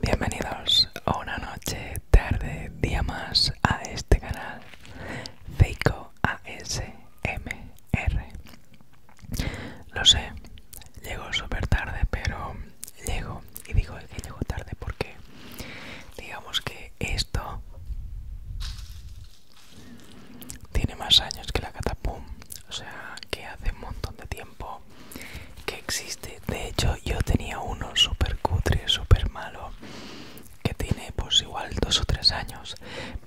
Bienvenidos a una noche, tarde, día más a este canal Feico ASMR. Lo sé, llego súper tarde, pero llego y digo que llego tarde porque digamos que esto tiene más años que la catapum, o sea que hace un montón de tiempo que existe. De hecho, yo tenía uno súper cutre, súper malo, que tiene pues igual dos o tres años.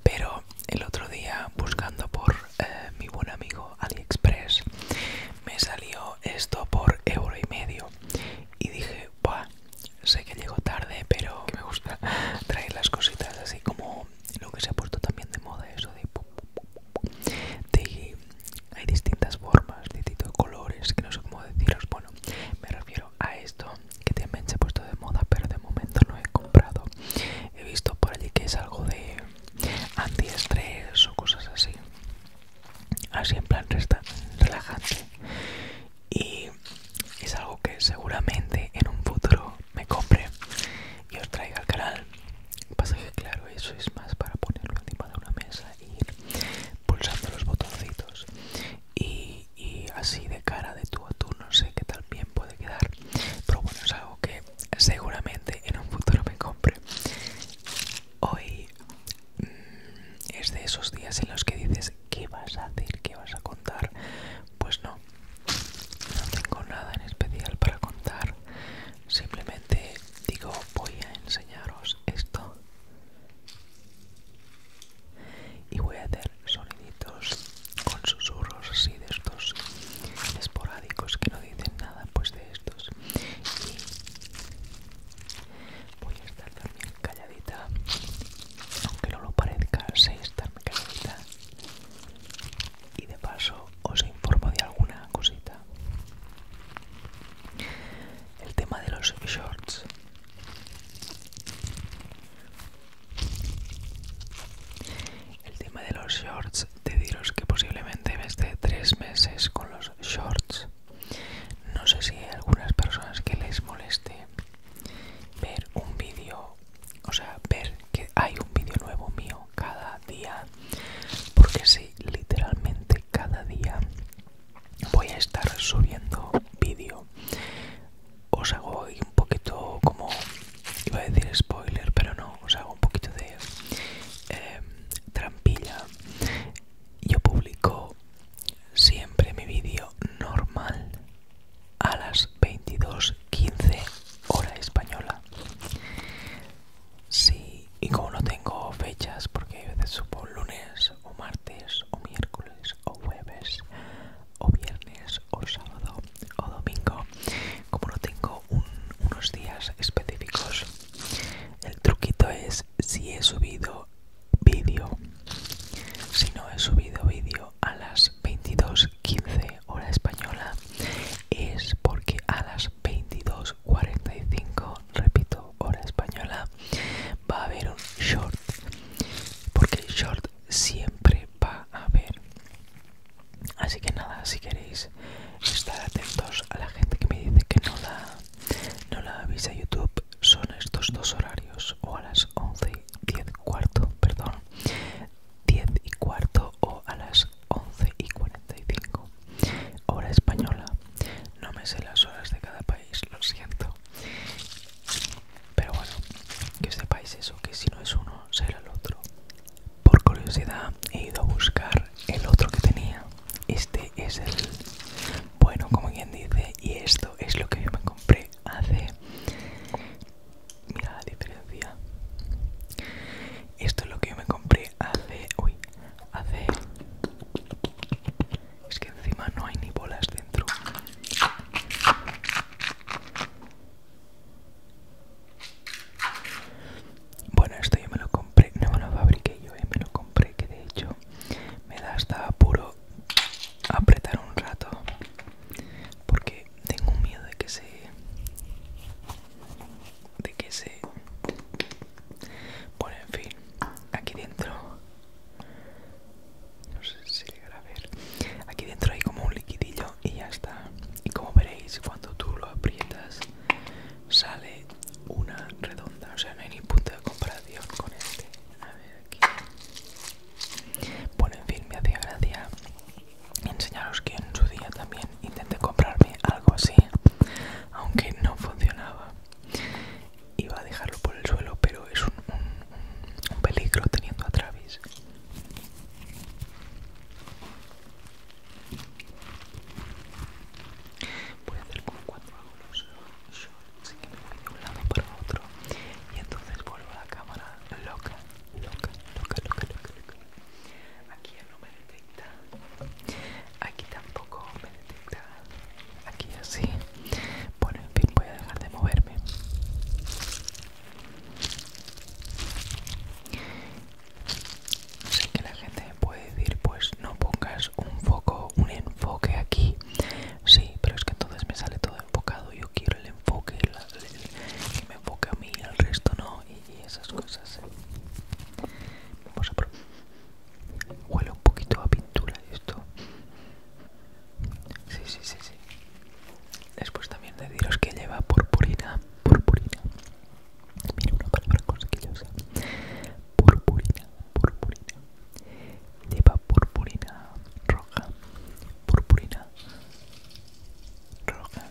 Pero el otro día, buscando por eh, mi buen amigo AliExpress, me salió esto por euro y medio. Y dije, sé que llego tarde, pero me gusta traer las cositas así como lo que se ha puesto también de moda, eso de... hay distintas formas, distintos colores, que no sé cómo deciros. Bueno, me refiero a esto que también se ha puesto de moda, pero de momento no he comprado. He visto por allí que es algo de antiestrés o cosas así. Así en plan relajante. Y es algo que seguramente en un futuro me compre y os traiga al canal. Pasa que claro, eso es más para ponerlo encima de una mesa y ir pulsando los botoncitos. Y, así de cara de tú a tú no sé qué tal bien puede quedar. Pero bueno, es algo que seguramente en un futuro me compre. Hoy mm, es de esos días en los que dices, ¿qué vas a hacer? ¿Qué vas a contar? Pues no, no tengo nada en especial para contar, simplemente digo voy a enseñaros esto y voy a hacer soniditos con susurros así de estos esporádicos que no dicen nada, pues de estos. Y voy a estar también calladita, aunque no lo parezca, sé estarme calladita. y de paso os informo de alguna cosita. El tema de los shorts. El tema de los shorts, deciros que posiblemente me esté tres meses con los shorts. No sé si hay algunas personas que les moleste ver un vídeo o sea, ver que hay un vídeo nuevo mío cada día, porque si, literalmente cada día voy a estar subiendo vídeo. Os hago hoy un poquito como, iba a decir spoiler, pero no, os hago un poquito de em, trampilla. Yo publico siempre mi vídeo normal a las 22.15 hora española. Sí, y como no tengo fechas, porque a veces subo lunes o martes o miércoles o jueves o viernes o sábado o domingo, como no tengo unos días específicos, el truquito es si he subido vídeo. Si no he subido vídeo a las 22.15 hora española es porque a las 22.45, repito, hora española, va a haber un short. Porque el short siempre va a haber. Así que nada, si queréis estar atentos a la gente que me dice que no la, no la avisa YouTube, son estos dos horarios, o a las 11 10 cuarto, perdón, 10 y cuarto o a las 11 y 45. Hora española. No me sé las horas de cada país, lo siento. Pero bueno, que sepáis eso, que si no es uno, será el otro. Por curiosidad he ido a buscar el otro que tenía. Este es el bueno, como quien dice, y esto es lo que yo me compré hace mira la diferencia esto es lo que yo me compré hace uy hace es que encima no hay ni bolas dentro bueno esto yo me lo compré no me lo fabriqué yo eh, me lo compré que de hecho me da hasta puro apretar un rato porque tengo miedo de que se de que se bueno en fin aquí dentro no sé si llegará a ver aquí dentro hay como un liquidillo y ya está y como veréis cuando tú lo aprietas sale una redonda o sea no hay ni punto de comparación con este a ver aquí bueno, en fin, me hacía gracia enseñaros que en su día también intenté comprarme algo así, aunque no funcionaba. Iba a dejarlo por el suelo, pero es un, peligro teniendo a Travis. Voy a hacer como cuatro hago así que me voy de un lado para otro y entonces vuelvo a la cámara loca, loca, loca, loca, loca, loca. Aquí no me detecta, aquí tampoco me detecta, aquí así. Bueno, en fin, voy a dejar de moverme. Sé que la gente me puede decir, pues no pongas un foco, un enfoque aquí. Sí, pero es que entonces me sale todo enfocado y quiero el enfoque, el, me enfoque a mí, y al resto no, y, esas cosas. Vamos a Huele un poquito a pintura esto. Sí, sí, sí, sí. Después también de deciros que lleva purpurina, purpurina. Mira una palabra consequillosa. Purpurina, purpurina lleva purpurina roja, purpurina roja.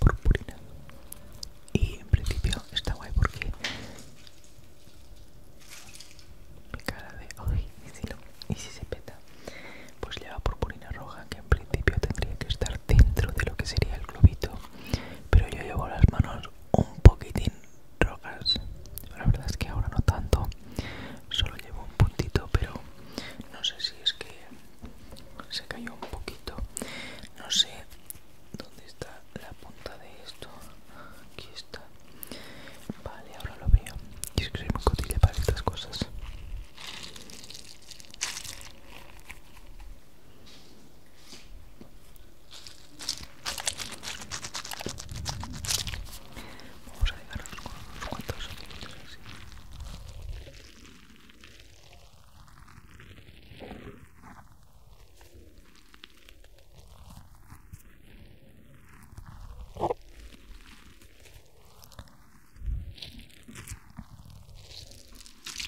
Purpurina. Y en principio está guay porque mi cara de hoy, y, si y si se peta, pues lleva purpurina roja que en principio tendría que estar dentro de lo que sería el globito, pero yo llevo las manos un poquitín rocas La verdad es que ahora no tanto, solo llevo un puntito, pero no sé si es que se cayó un poquito. No sé dónde está la punta de esto. Aquí está. Vale, ahora lo veo. Y es que soy muy cotilla para estas cosas. Vamos a dejar unos cuantos segundos así.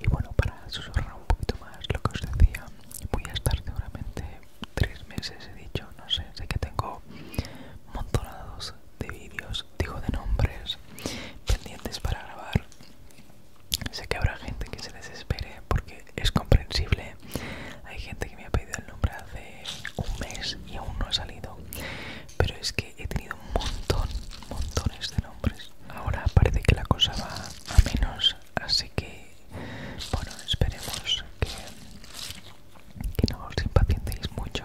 Y bueno, para susurrar un poquito más lo que os decía, voy a estar seguramente tres meses, he dicho, no sé, sé que tengo montonados de vídeos, digo de nombres, pendientes para grabar. Sé que habrá gente que se desespere porque es comprensible. Hay gente que me ha pedido el nombre hace un mes y aún no ha salido. Pero es que he tenido un montón, montones de nombres. Ahora parece que la cosa va a menos así que bueno esperemos que, no os impacientéis mucho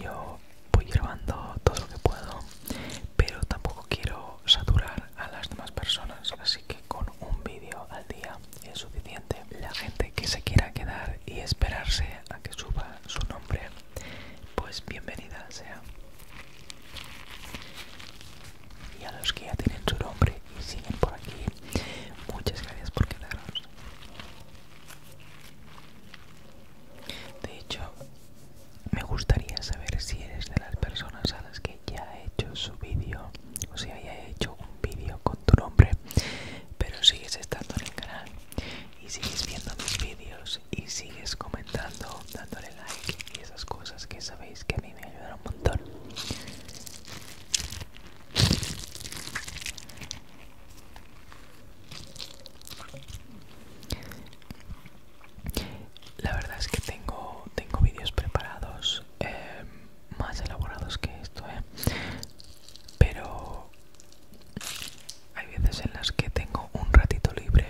yo voy grabando todo lo que puedo pero tampoco quiero saturar a las demás personas así que con un vídeo al día es suficiente la gente que se quiera quedar y esperarse a que suba su nombre pues bienvenida sea y a los que ya tienen su nombre y siguen por aquí muchas gracias por quedaros de hecho me gustaría saber si eres de las personas a las que ya he hecho su vídeo o si haya hecho un vídeo con tu nombre pero sigues estando en el canal y sigues viendo mis vídeos y sigues comentando, dándole like y esas cosas que sabéis que a mí me ayudan un montón. La verdad es que tengo, tengo vídeos preparados em, más elaborados que esto, ¿eh? pero hay veces en las que tengo un ratito libre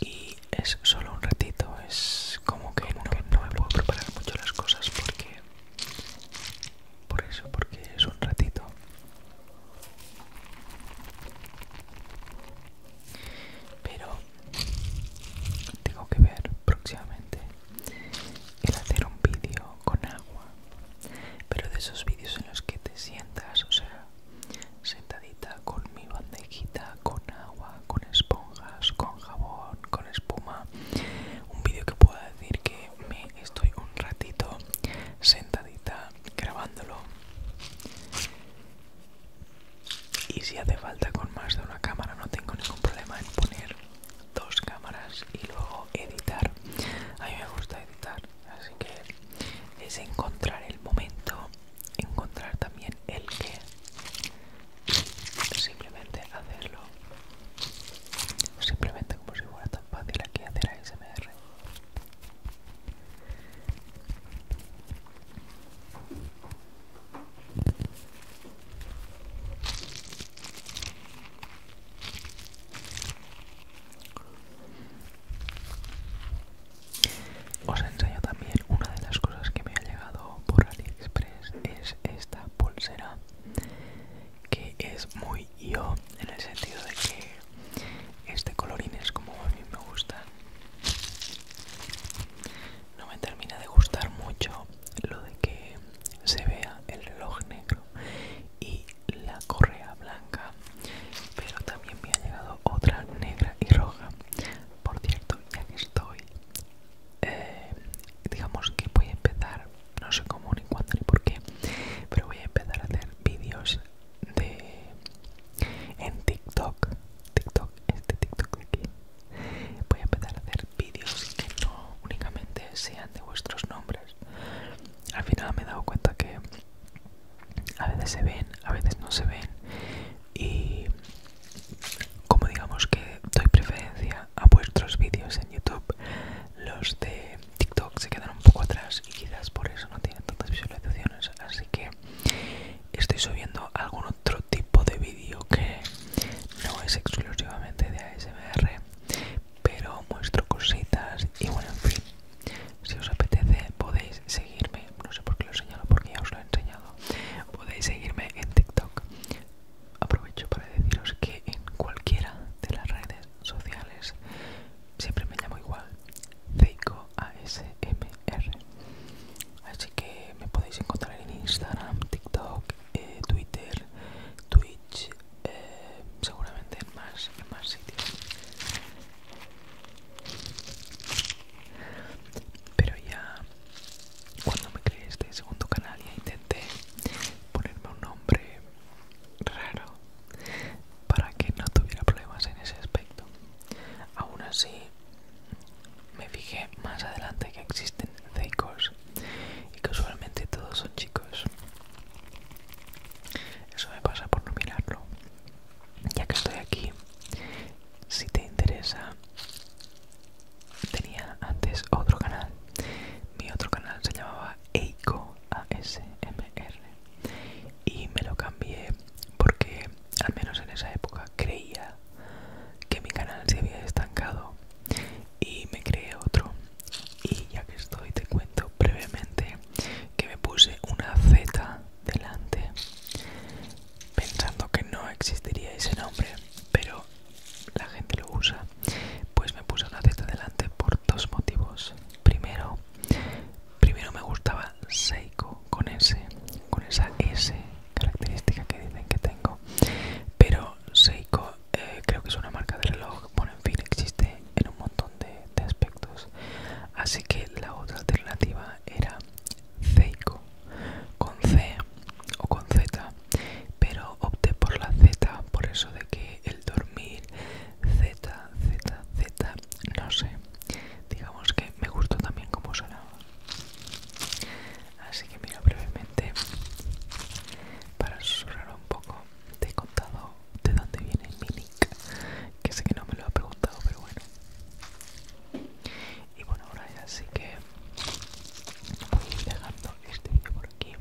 y es solo un ratito, es como que, no me puedo preparar mucho las cosas porque... Por eso, porque es un ratito. Pero tengo que ver próximamente el hacer un vídeo con agua. Pero de esos vídeos en los que te sientas, o sea, sentadita con mi bandejita, con agua, con esponjas, con jabón, con espuma. Un vídeo que pueda decir que me estoy un ratito sentadita grabándolo. Y si hace falta con más de una cámara, no tengo ningún problema en poner dos cámaras y luego editar. A mí me gusta editar, así que es encontrar el momento encontrar también el que simplemente hacerlo simplemente como si fuera tan fácil aquí hacer ASMR os enseño también una de las cosas que me ha llegado por AliExpress es esta pulsera que es muy yo en el sentido de que este colorín es como a mí me gusta. No me termina de gustar mucho lo de que se vea el reloj negro y la correa blanca, pero también me ha llegado otra negra y roja. Por cierto, ya que estoy, eh, digamos que voy a empezar, no sé cómo, ni cuándo, ni por qué, pero voy a empezar a hacer vídeos de en TikTok. TikTok, este TikTok de aquí. Voy a empezar a hacer vídeos que no únicamente sean de vuestros nombres. Al final me he dado cuenta que a veces se ven, a veces no se ven y como digamos que doy preferencia a vuestros vídeos en YouTube, los de TikTok se quedan un poco atrás y quizás por eso no tienen tantas visualizaciones, así que estoy subiendo algún otro tipo de vídeo que no es exclusivamente de ASMR, pero muestro cositas y bueno, en fin. Si os apetece podéis seguirme, no sé por qué lo señalo porque ya os lo he enseñado, podéis seguirme en TikTok. Aprovecho para deciros que en cualquiera de las redes sociales siempre me llamo igual, Zeiko ASMR. Así que me podéis encontrar en Instagram, TikTok, eh, Twitter, Twitch, eh, seguramente en más, en más sitios pero ya cuando me creé este segundo canal ya intenté ponerme un nombre raro para que no tuviera problemas en ese aspecto aún así me fijé más adelante que existen zeikos y que usualmente todos son chicos eso me pasa por no mirarlo ya que estoy aquí si te interesa tenía antes otro canal mi otro canal se llamaba Eiko ASMR y me lo cambié porque al menos en esa época creía que mi canal se había estancado y me creé otro y ya que estoy te cuento brevemente que me puse una Z delante pensando que no existiría ese nombre pero la gente lo usa pues me puse la teta delante por dos motivos primero primero me gustaba Seiko con ese con esa S característica que dicen que tengo pero Seiko eh, creo que es una marca de reloj bueno en fin existe en un montón de aspectos así que la otra alternativa era Zeiko con C o con Z, pero opté por la Z por eso de que el dormir Z, Z, Z, no sé. Digamos que me gustó también como sonaba. Así que mira brevemente para susurrar un poco te he contado de dónde viene mi que sé que no me lo ha preguntado, pero bueno. Y bueno, ahora ya sí que voy pegando este vídeo por aquí.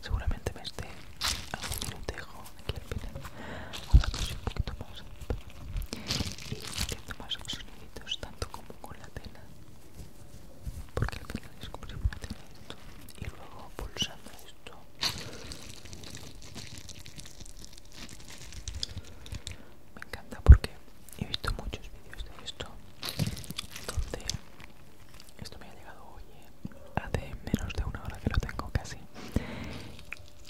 Seguramente me esté un dejo aquí al final, hablando un poquito más y haciendo más soniditos, tanto como con la tela, porque al final es como esto, y luego pulsando esto me encanta porque he visto muchos vídeos de esto donde esto me ha llegado hoy eh, hace menos de una hora que lo tengo casi.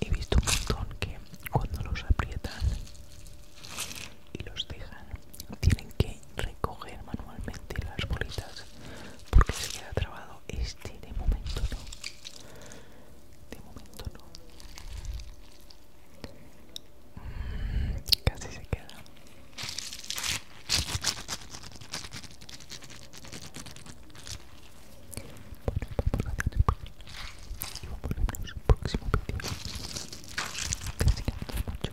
He visto un montón que cuando los aprietan y los dejan tienen que recoger manualmente las bolitas porque se queda trabado este de momento no. De momento no. Mm, casi se queda. Y vamos a vernos en el próximo vídeo. Casi que mucho.